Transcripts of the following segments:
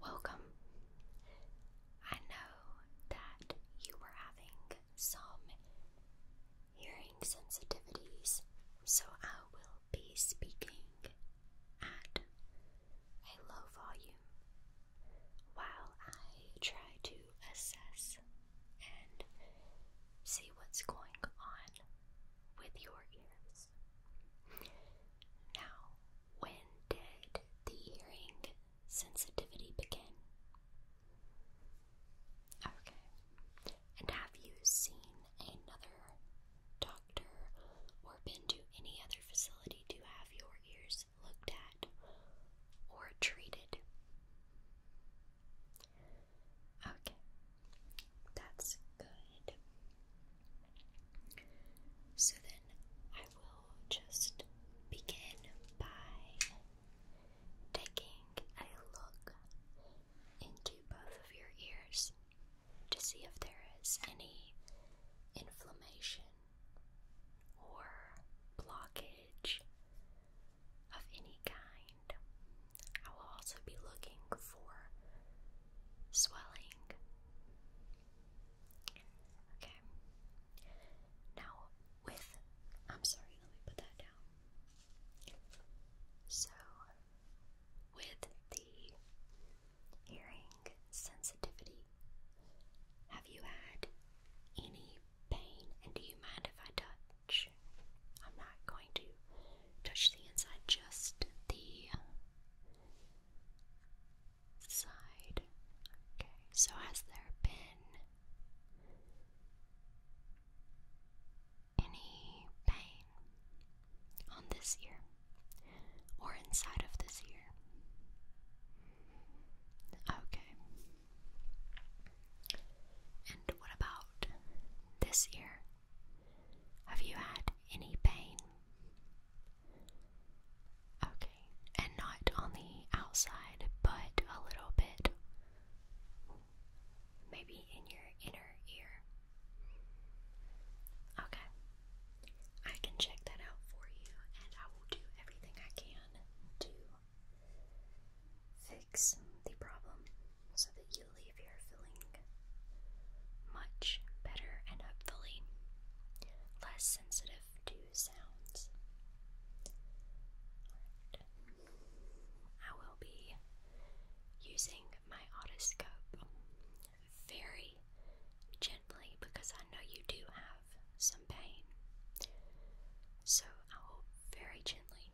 Welcome. I know that you were having some hearing sensitivities, so I will be speaking at a low volume while I try to assess and see what's going on with your ears. Now, when did the hearing sensitivity begin? Okay. And have you seen another doctor or been to any other facility to have your ears looked at or treated? Okay. That's good. So then I will just begin by taking a look into both of your ears to see if there is any inflammation or blockage of any kind. I will also be looking for swelling Okay. Now, with. I'm sorry, let me put that down. So, with the hearing sensitivity, have you had any pain? And do you mind if I touch? I'm not going to touch the inside, just the side. Okay, so has there been any pain on this ear or inside of this ear? Okay. And what about this ear? Have you had any pain Okay, and not on the outside, but a little bit maybe in your inner ear. Okay, I can check that out for you, and I will do everything I can to fix the problem so that you leave here feeling much better and hopefully less sensitive to sounds. I will be using my otoscope very gently because I know you do have some pain. So I will very gently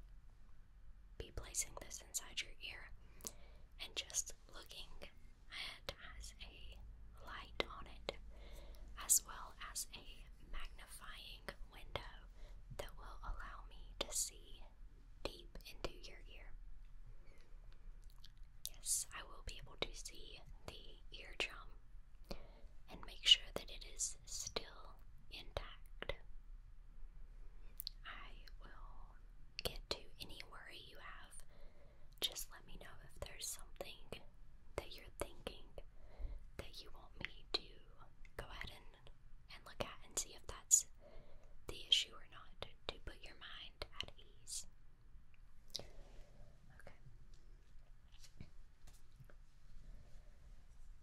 be placing this inside your ear and just looking it has a light on it, as well as a magnifying window that will allow me to see deep into your ear. Yes, I will be able to see the eardrum and make sure that it is still intact. I will get to any worry you have just let me know if there's something that you're thinking that you want me to go ahead and, and look at and see if that's the issue or not to put your mind at ease. Okay.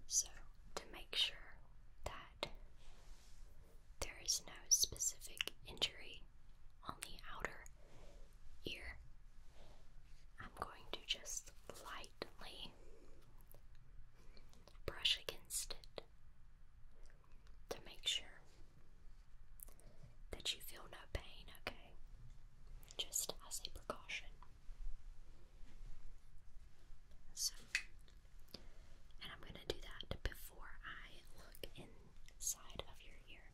So, to make sure that there is no specific injury on the outer ear. I'm going to just lightly brush against it to make sure that you feel no pain, okay? Just as a precaution. and I'm going to do that before I look in side of your ear.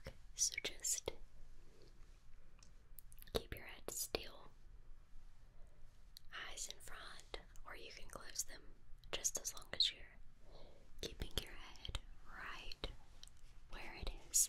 Okay, so just keep your head still, eyes in front, or you can close them just as long as you're keeping your head right where it is.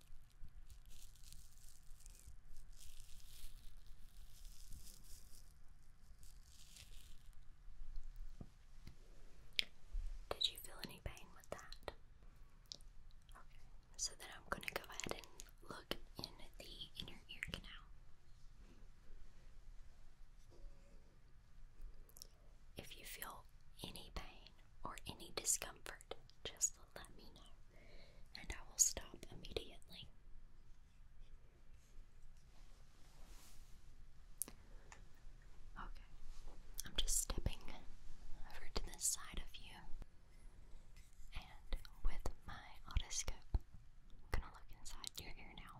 Did you feel any pain with that? Okay, so then I'm going to go ahead and look in the inner ear canal. If you feel any pain, or any discomfort, just let me know and I will stop immediately. Okay, I'm just stepping over to this side of you and with my otoscope, I'm gonna look inside your ear now.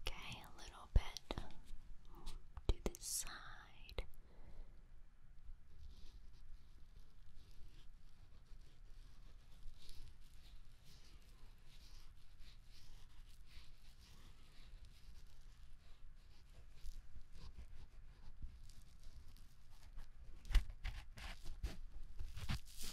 Okay, a little bit to this side.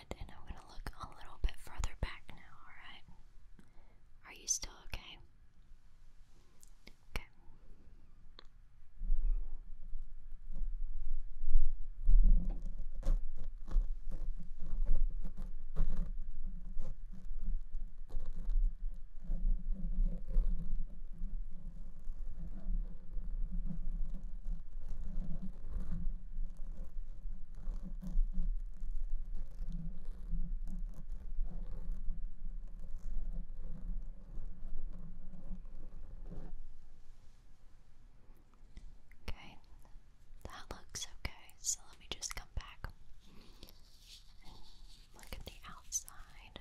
and I'm gonna look a little bit further back now, alright? Are you still Okay. Okay. Okay, that looks okay, so let me just come back and look at the outside.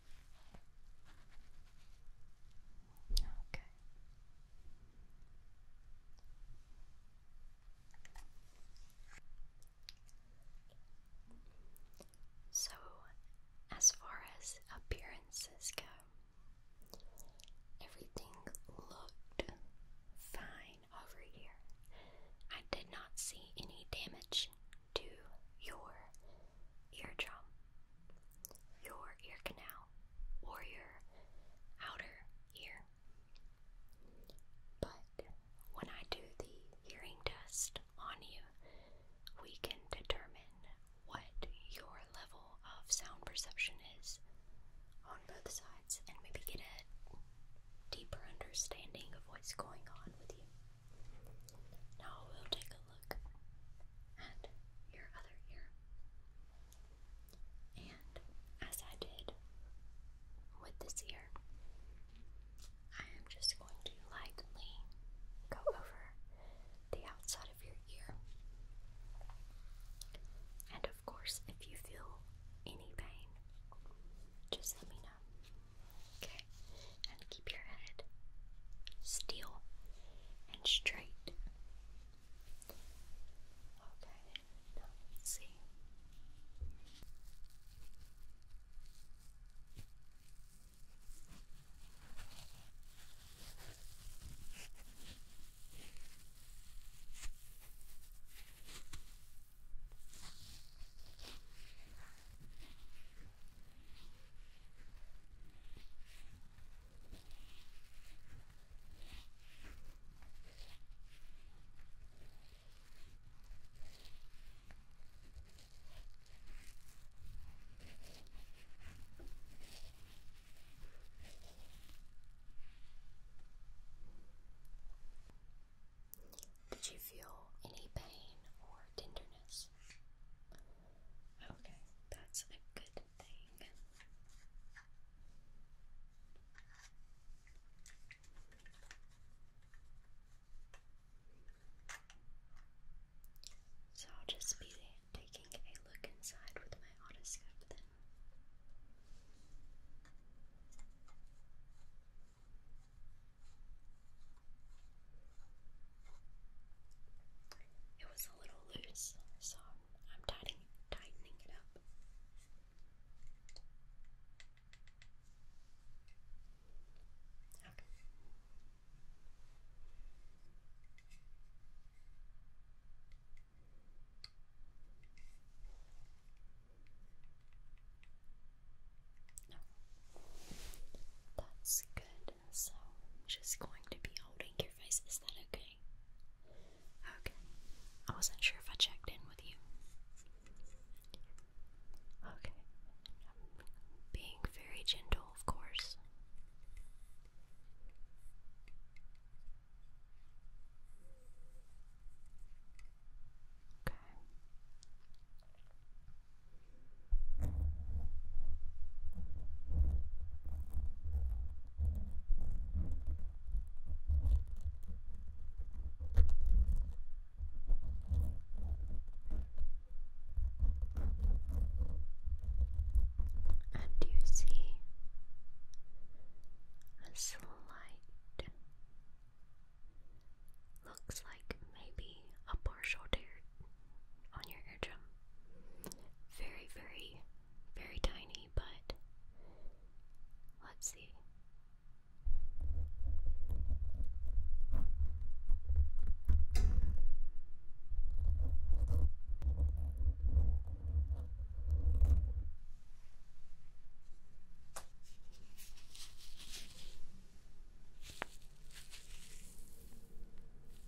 Okay. So, as far as appearances go, everything looked fine over here. I did not see any damage to your Ear drum, your ear canal, or your outer ear. But when I do the hearing test on you, we can determine what your level of sound perception is on both sides and maybe get a deeper understanding of what's going on with you. Now we'll take a look at your other ear. And as I did with this ear, I am just going to lightly go over the outside of your ear. And of course, if you feel any pain, just let me know. Okay? Keep your head still and straight. Okay, see. Did you feel any pain or tenderness? Okay, that's a good thing. So I'll just be taking a look inside with my autoscope then. It was a little loose, so I'm tightening, it up. Okay. No. That's good so i just going to be holding your face. Is that okay? Okay. I wasn't sure if I checked in with you. Okay. being very gentle, of course. Okay. And you see a slight looks like maybe a partial tear on your eardrum. Very, very, very tiny, but let's see.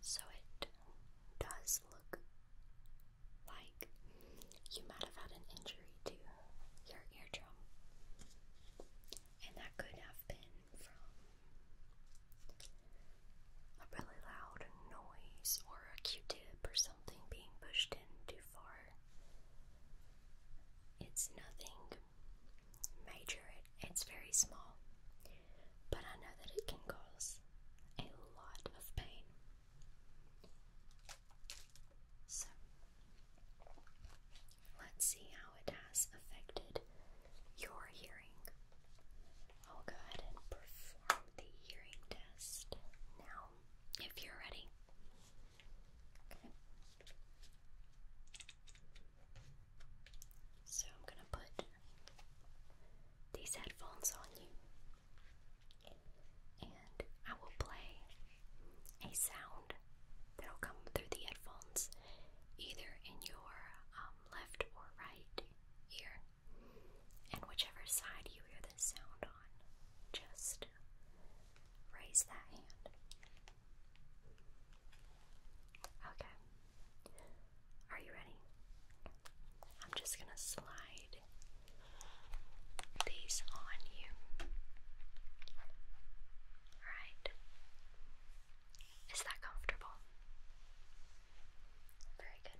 So it does look like you might have had an injury to your eardrum, and that could have been from a really loud noise or a q tip or something being pushed in too far. It's nothing major, it, it's very small, but I know that it can cause a lot of pain. So, let's see how it has affected your hearing. I'll go ahead and perform the hearing test now, if you're ready. So I'm going to put these headphones on you and I will play a sound that will come through the headphones either in your um, left or right ear. And whichever side you hear the sound on, just raise that hand. Okay. Are you ready? I'm just going to slide these on you. Alright. Is that comfortable? Very good.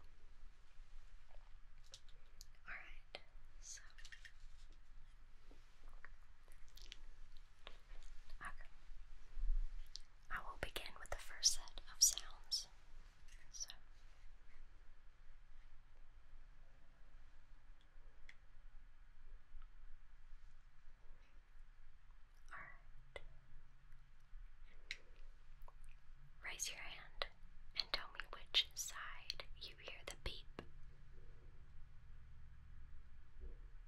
Alright, so Okay. I will begin with the first set of sounds. Alright. Raise your hand and tell me which side you hear the beep.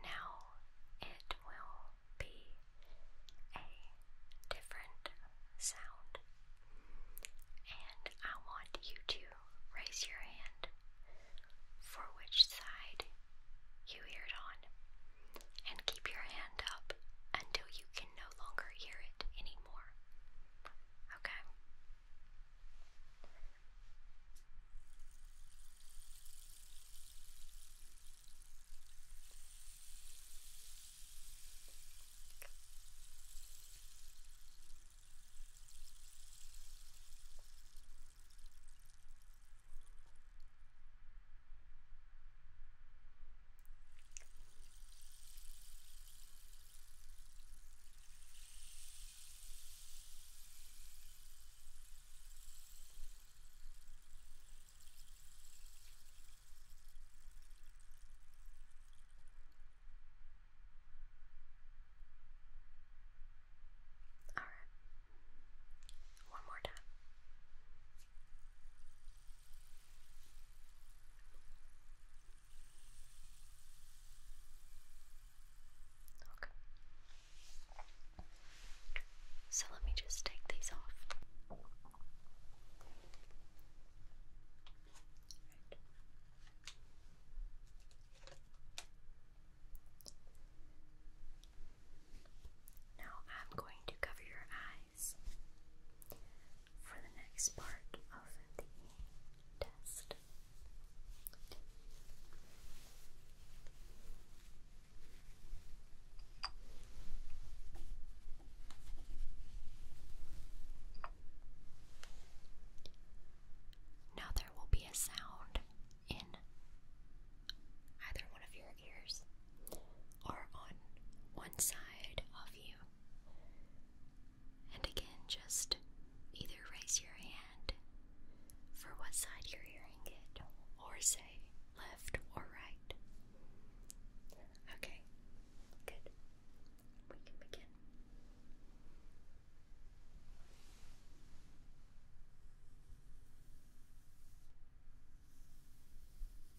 Now it will be a different sound, and I want you to raise your hand for which side you hear it on, and keep your hand up until you can no longer hear it any anymore. Okay? Okay. All right. One more time. Okay. So let me just take these off. Now I'm going to cover your eye for the next part of the test. Now there will be a sound in either one of your ears or on one side of you. And again, just either raise your hand for what side you're hearing it, or say left or right. Okay, good. We can begin.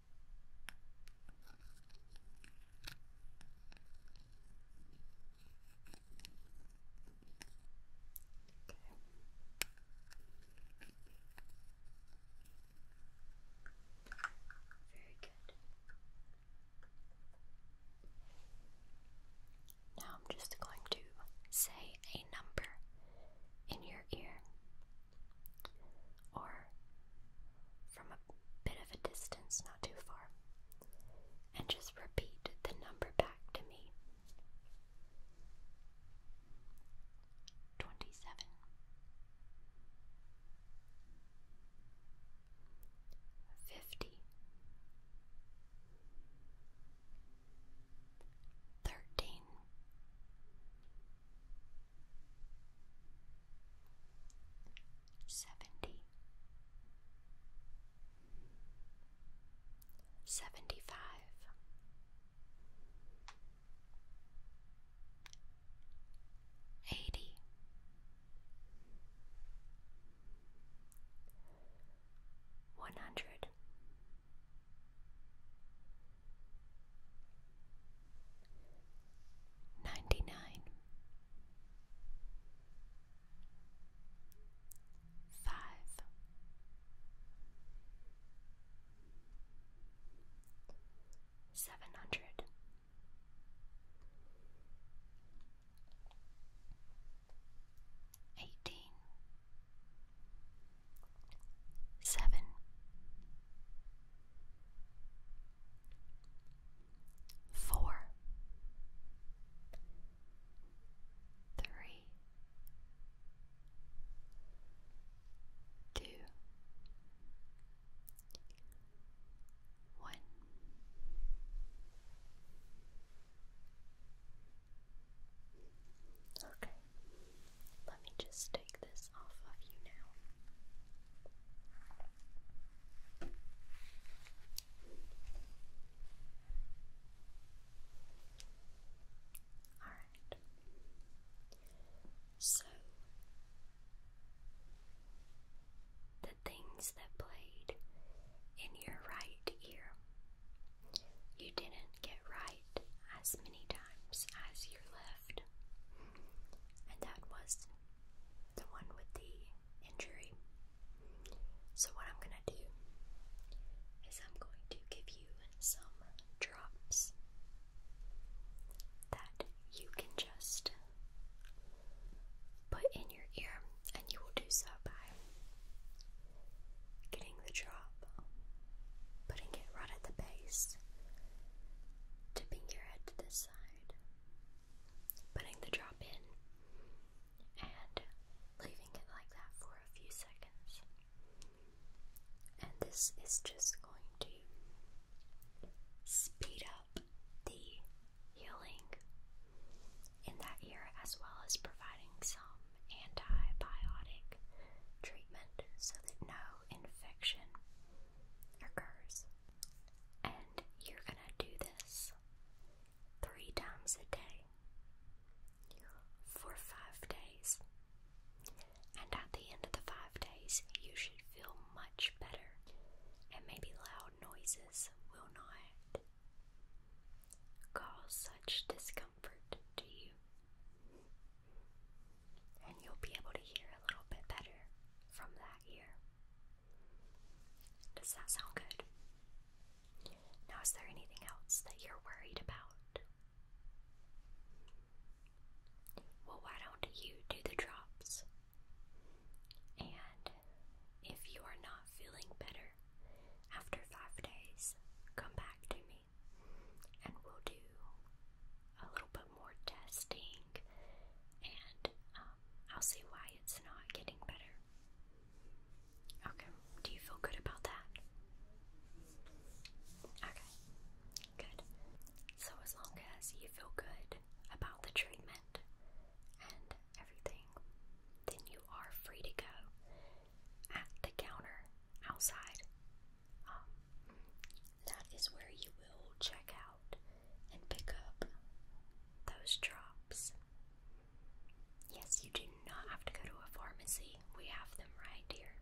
Very good. Now I'm just going to say a number in your ear or from a bit of a distance, not too far, and just repeat the number back to me. 27 50 seventy, seventy five, eighty, one hundred ninety nine, five, seven hundred. Eighteen seven four, three, two, one. Okay, let me just take this off of you now. Alright. So the things that played in your right ear. You didn't get right as many times as your left and that was the one with the injury. So, what I'm gonna do is I'm going to give you some drops that you can just put in your ear, and you will do so by getting the drop, putting it right at the base, tipping your head to the side, putting the drop in and leaving it like that for a few seconds. And this is just going to speed up the healing in that ear as well as providing some antibiotic treatment so that no infection occurs. And you're going to do this three times a day for five days. And at the end of the five days, you should feel much better, and maybe loud noises will not cause such discomfort to you. And you'll be able to hear a little bit better from that. Does that sound good? Now, is there anything else that you're worried about? Well, why don't you do the drops? And if you are not feeling better after five days, come back to me and we'll do a little bit more testing and um, I'll see why it's not getting better. Okay, do you feel good about that? Okay, good. So, as long as you feel good about the treatment and everything, then you are free to go at the counter outside. Um, that is where you will check out and pick up those drops. Yes, you do not have to go to a pharmacy, we have them right here.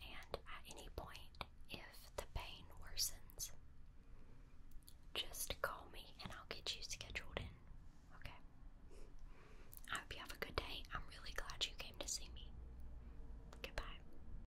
And at any point, if the pain worsens, just call me and I'll get you scheduled in. Okay? I hope you have a good day. I'm really glad you came to see me. Goodbye.